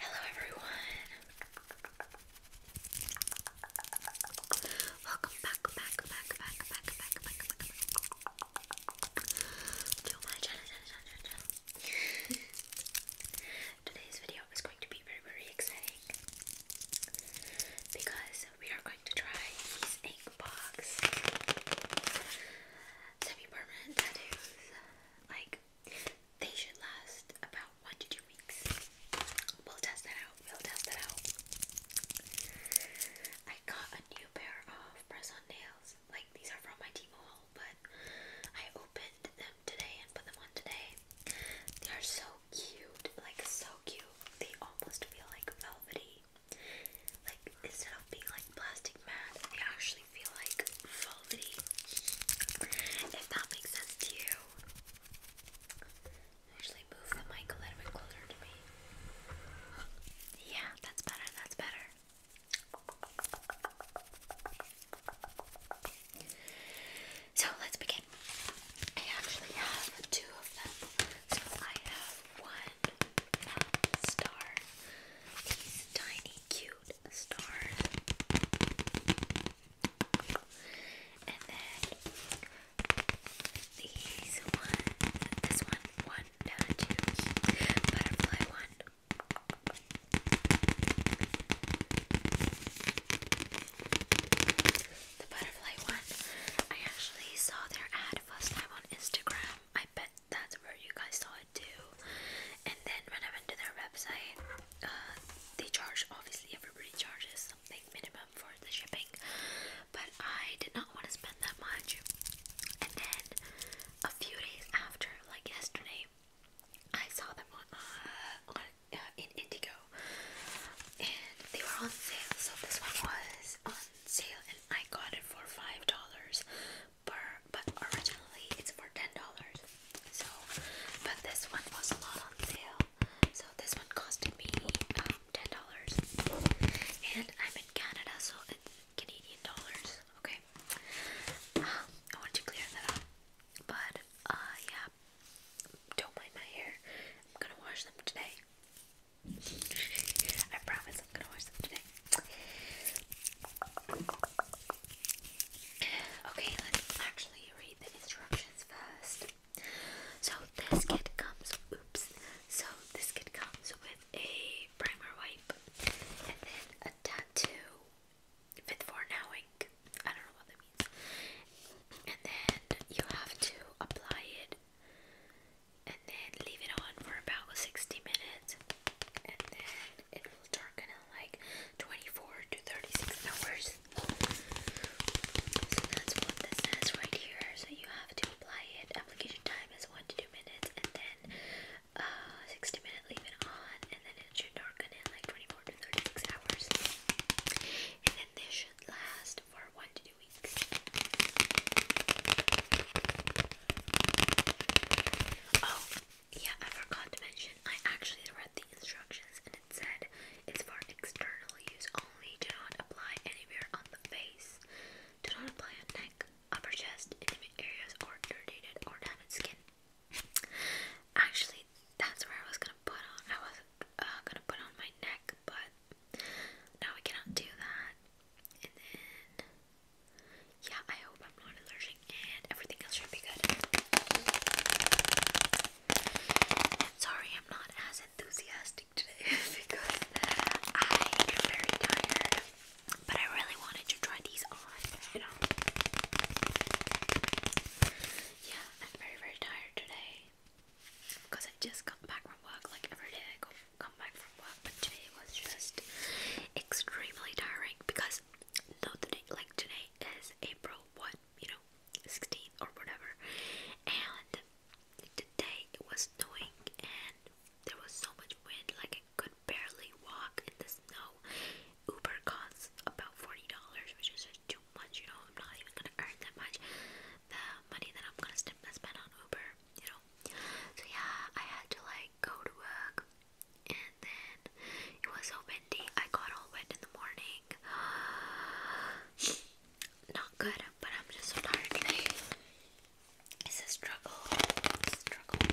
Hello everyone. Welcome back, back, back, back, back, back, back, back to my channel, channel, channel, channel. Today's video is going to be very, very exciting because we are going to try these ink box semi-permanent tattoos. Like they should last about one to two weeks. We'll test that out. We'll test that out. I got a new pair of press-on nails. Like these are from my Timo but I opened them today and put them on today. They are so cute, like so cute. They almost feel like velvety. Like instead of being like plastic, matte, they actually feel like velvety. If that makes sense to you. Actually move the mic a little bit closer to me. Yeah, that's better, that's better. So let's begin. I actually have two of them. So I have one uh, star, these tiny cute cute And then these one, this one, one, uh, two, butterfly one. The butterfly one. I actually saw their ad first time on Instagram. I bet that's where you guys saw it too. And then when I went to their website, uh, they charge obviously everybody charges something minimum for the shipping, but I did not want to spend that much. And then a few days after, like yesterday, I saw them on, uh, on uh, in Indigo, and they were on sale. So this one was on sale, and I got it for five dollars per, but originally it's for ten dollars. So, but this one was a on sale. So this one costed me um, ten dollars, and I'm in Canada, so it's Canadian dollars. Okay, um, I want to clear that up. But uh, yeah, don't mind my hair. I'm gonna wash them today. I promise I'm gonna wash them today. Okay, let's actually read the instructions first. So this kit comes oops. So this kit comes with a primer wipe and then a tattoo fit for now ink. I don't know what that means. And then you have to apply it and then leave it on for about 60 minutes and then it will darken in like 24 to 36 hours. So that's what this says right here. So you have to apply it. Application time is 1 to 2 minutes and then uh, 60 minutes leave it on and then it should darken in like 24 to 36 hours. And then this should last for 1 to 2 weeks. Oh, yeah, I forgot to mention, I actually read the instructions and it said it's for external use only. Do not apply anywhere on the face. Do not apply on neck, upper chest, intimate areas, or irritated or damaged skin. Actually, that's where I was gonna put on. I was uh, gonna put on my neck, but now we cannot do that. Yeah, I hope I'm not allergic and everything else should be good. And sorry I'm not as enthusiastic today because I am very tired. But I really wanted to try these on, you know. Yeah, I'm very very tired today. Because I just come back from work like every day I go come back from work, but today was just extremely tiring because no today like today is April one, you know, sixteenth or whatever, and today it was snowing and there was so much wind like I could barely walk in the snow. Uber costs about forty dollars, which is just too much, you know, I'm not even gonna earn that much. The money that I'm gonna spend on Uber, you know. So yeah, I had to like go to work and then it was so windy. I got all wet in the morning. Not good, but I'm just tired It's a struggle. It's a struggle.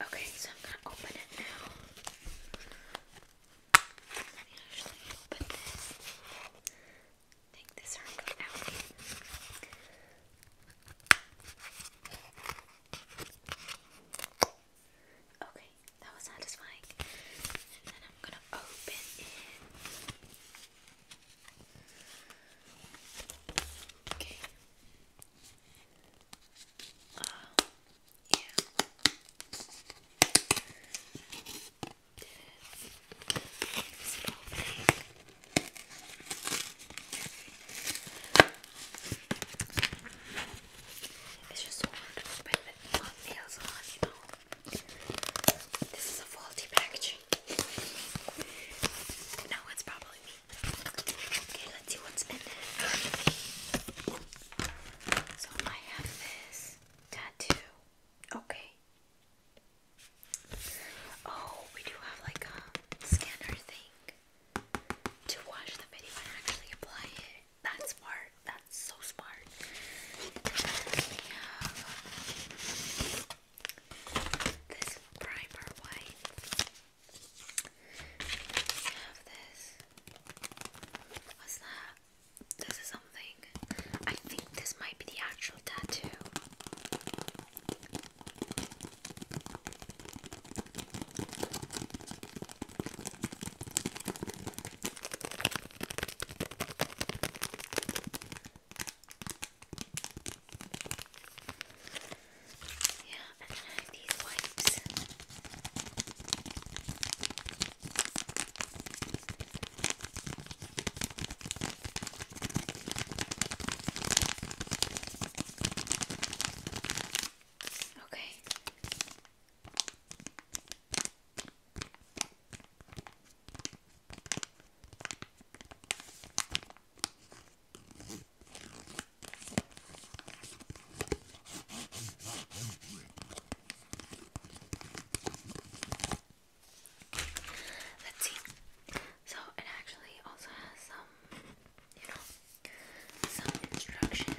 Okay, so I'm gonna open it now. Let me actually open this. Take this arm out. Okay, that was satisfying. And then I'm gonna open it. Okay. Uh, yeah. This little thing. It's just so hard to spend it on nails on, you know. This is a faulty packaging. No, it's probably me. Okay, let's see what's in it. So I have this tattoo. Okay. Oh, we do have like a scanner thing to watch the video and actually apply it. That's smart. That's so smart. We have this primer white. We have this. What's that? This is something. I think this might be the actual tattoo. Yeah, and I have these wipes. Okay. Let's see. So it actually also has some, you know, some instructions.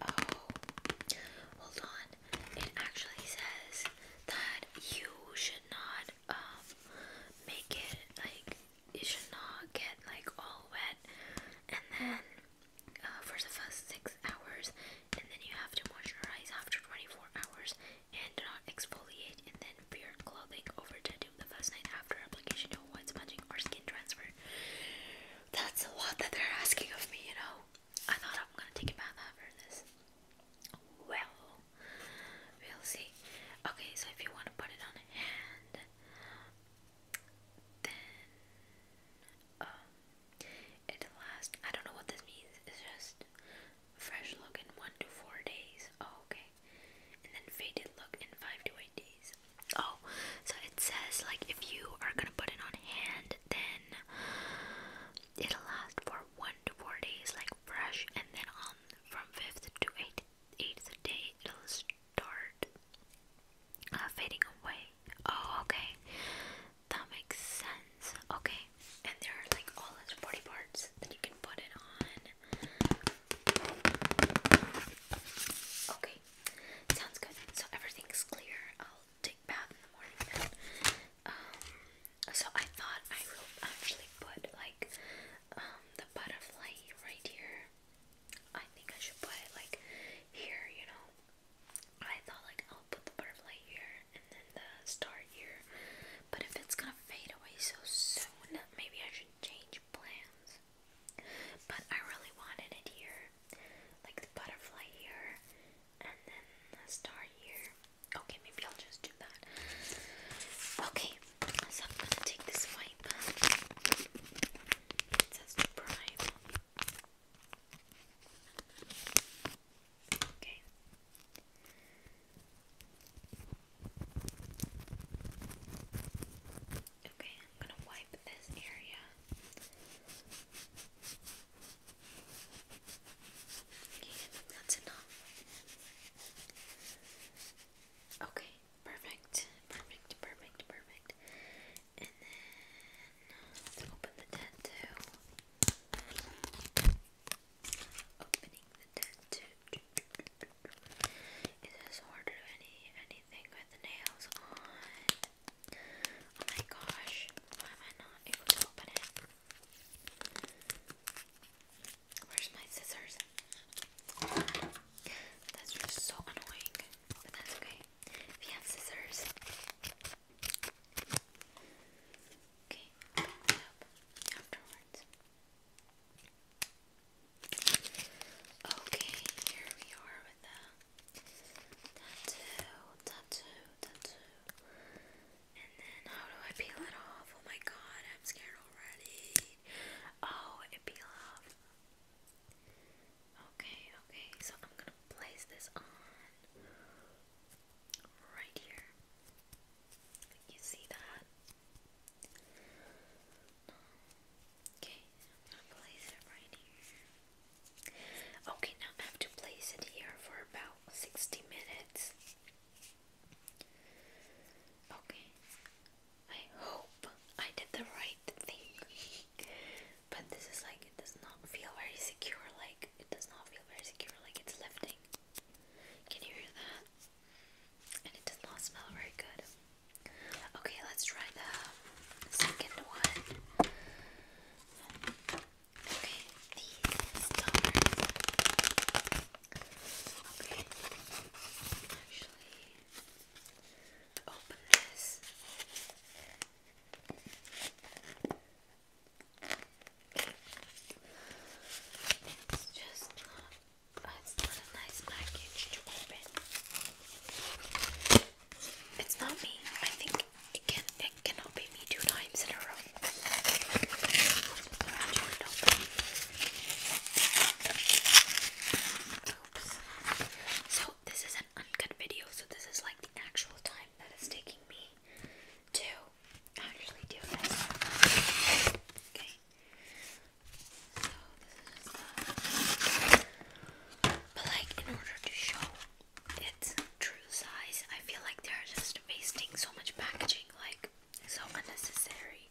Oh, hold on. It actually says that you should not um make it like you should not get like all wet and then uh, for the first 6 hours and then you have to moisturize after 24 hours and do not exfoliate and then wear clothing over tattoo the first night after application to avoid smudging or skin transfer. That's a lot that they're asking of me, you know. I thought I'm gonna take a bath after this. Well, we'll see. Okay, so if you want to put it on hand, then um it lasts I don't know what this means, it's just fresh look in one to four days. Oh, okay. And then faded look in five to eight days. Oh, so it says like if you are gonna put it on hand then it'll last for one to four days like fresh and then on from fifth to eighth eighth day it'll toward uh, fading away. Oh, okay, that makes sense. Okay, and there are like all its body parts that you can put it on. Okay, sounds good. So everything's clear. I'll take bath in the morning. Then. Um, so I thought I will actually put like um the butterfly right here I think I should put it like here, you know. I thought like I'll put the butterfly here and then the star here. But if it's gonna fade away so soon, maybe I should change plans. But I really wanted it here. Like the butterfly here and then the star here. Okay, maybe I'll just do that. Okay, so I'm gonna take this wipe. It says to prime. Okay. Okay, I'm gonna wipe this area. Okay, that's enough. Okay, Perfect, perfect, perfect, perfect. And then let's open the tattoo. Opening the tattoo. It is hard to do any anything with the nails on. Oh my gosh, why am I not able to open it? Where's my scissors? That's just so annoying, but that's okay. We have scissors. Okay, pick up afterwards. Okay, here we are with the tattoo, tattoo, tattoo. And then how do I peel it off? Oh my god, I'm scared already. Oh, it peel off. Okay, okay, so I'm gonna place this on right here. You see that? Okay, I'm gonna place it right here. Okay, now I have to place it here for about 60 minutes. Okay, I hope I did the right thing. but this is like, it does not feel very secure. Like, it does not feel very secure. Like, it's lifting. Can you hear that? And it does not smell very good. Okay, let's try the second one. Okay, it's just not, it's not a nice package to open. It's not me. I think it can it cannot be me two times in a row. So this is an uncut video, so this is like the actual time that is taking me to actually do this. Okay. So this is the uh, but like in order to show its true size, I feel like they're just wasting so much packaging, like so unnecessary.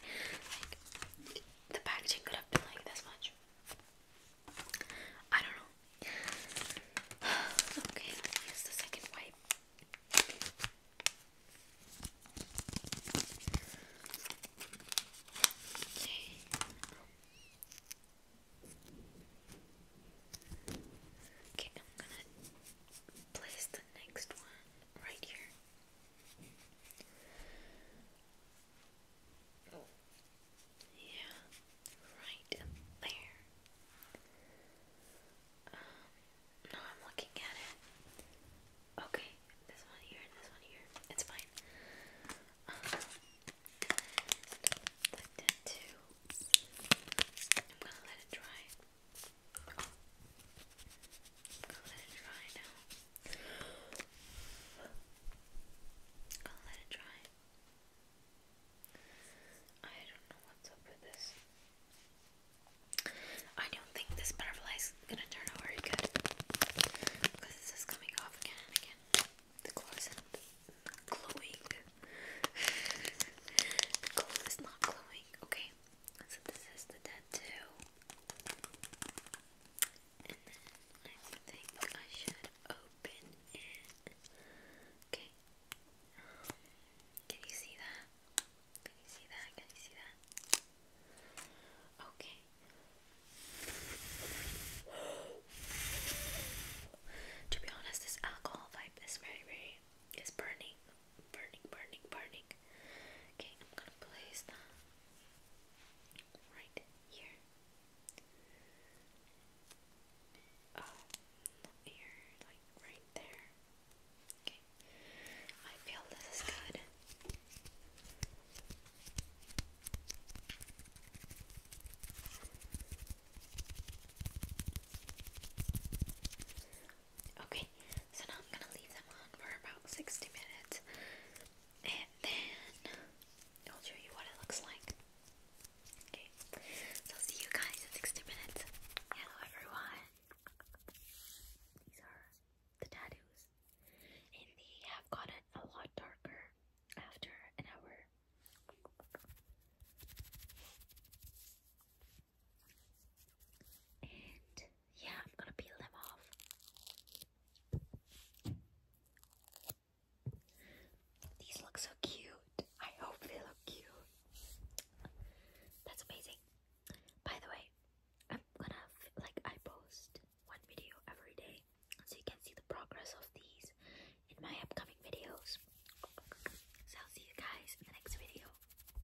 Like the packaging could have been like this much. I don't know. okay, let me use the second wipe. Okay. Okay, I'm gonna place the next one right here. Oh. Yeah, right there. Um, no, I'm looking at it. Okay, this one here and this one here. It's fine. Um, like that too. I'm gonna let it dry. I'll let it dry now. i let it dry. I don't know what's up with this. I don't think this butterfly is gonna turn out very good because this is coming off again and again. The glow isn't glowing. the glow is not glowing. Okay. So this is the tattoo. And then I think I should open it. Okay. can you see that? Can you see that? Can you see that? Okay. to be honest, this alcohol vibe is very, very, is burning burning, burning, burning. Okay, I'm gonna place that right here. Oh, uh, here, like right there. Okay, I feel this is good. Okay, so now I'm gonna leave them on for about 60 minutes and then I'll show you what it looks like. Okay, so I'll see you guys in 60 minutes. Hello everyone! These are the tattoos and they have gotten a lot darker after an hour. And yeah, I'm gonna peel them off. These look so cute. I hope they look cute. That's amazing. By the way, I'm gonna like I post one video every day, so you can see the progress of these in my upcoming videos. So I'll see you guys in the next video.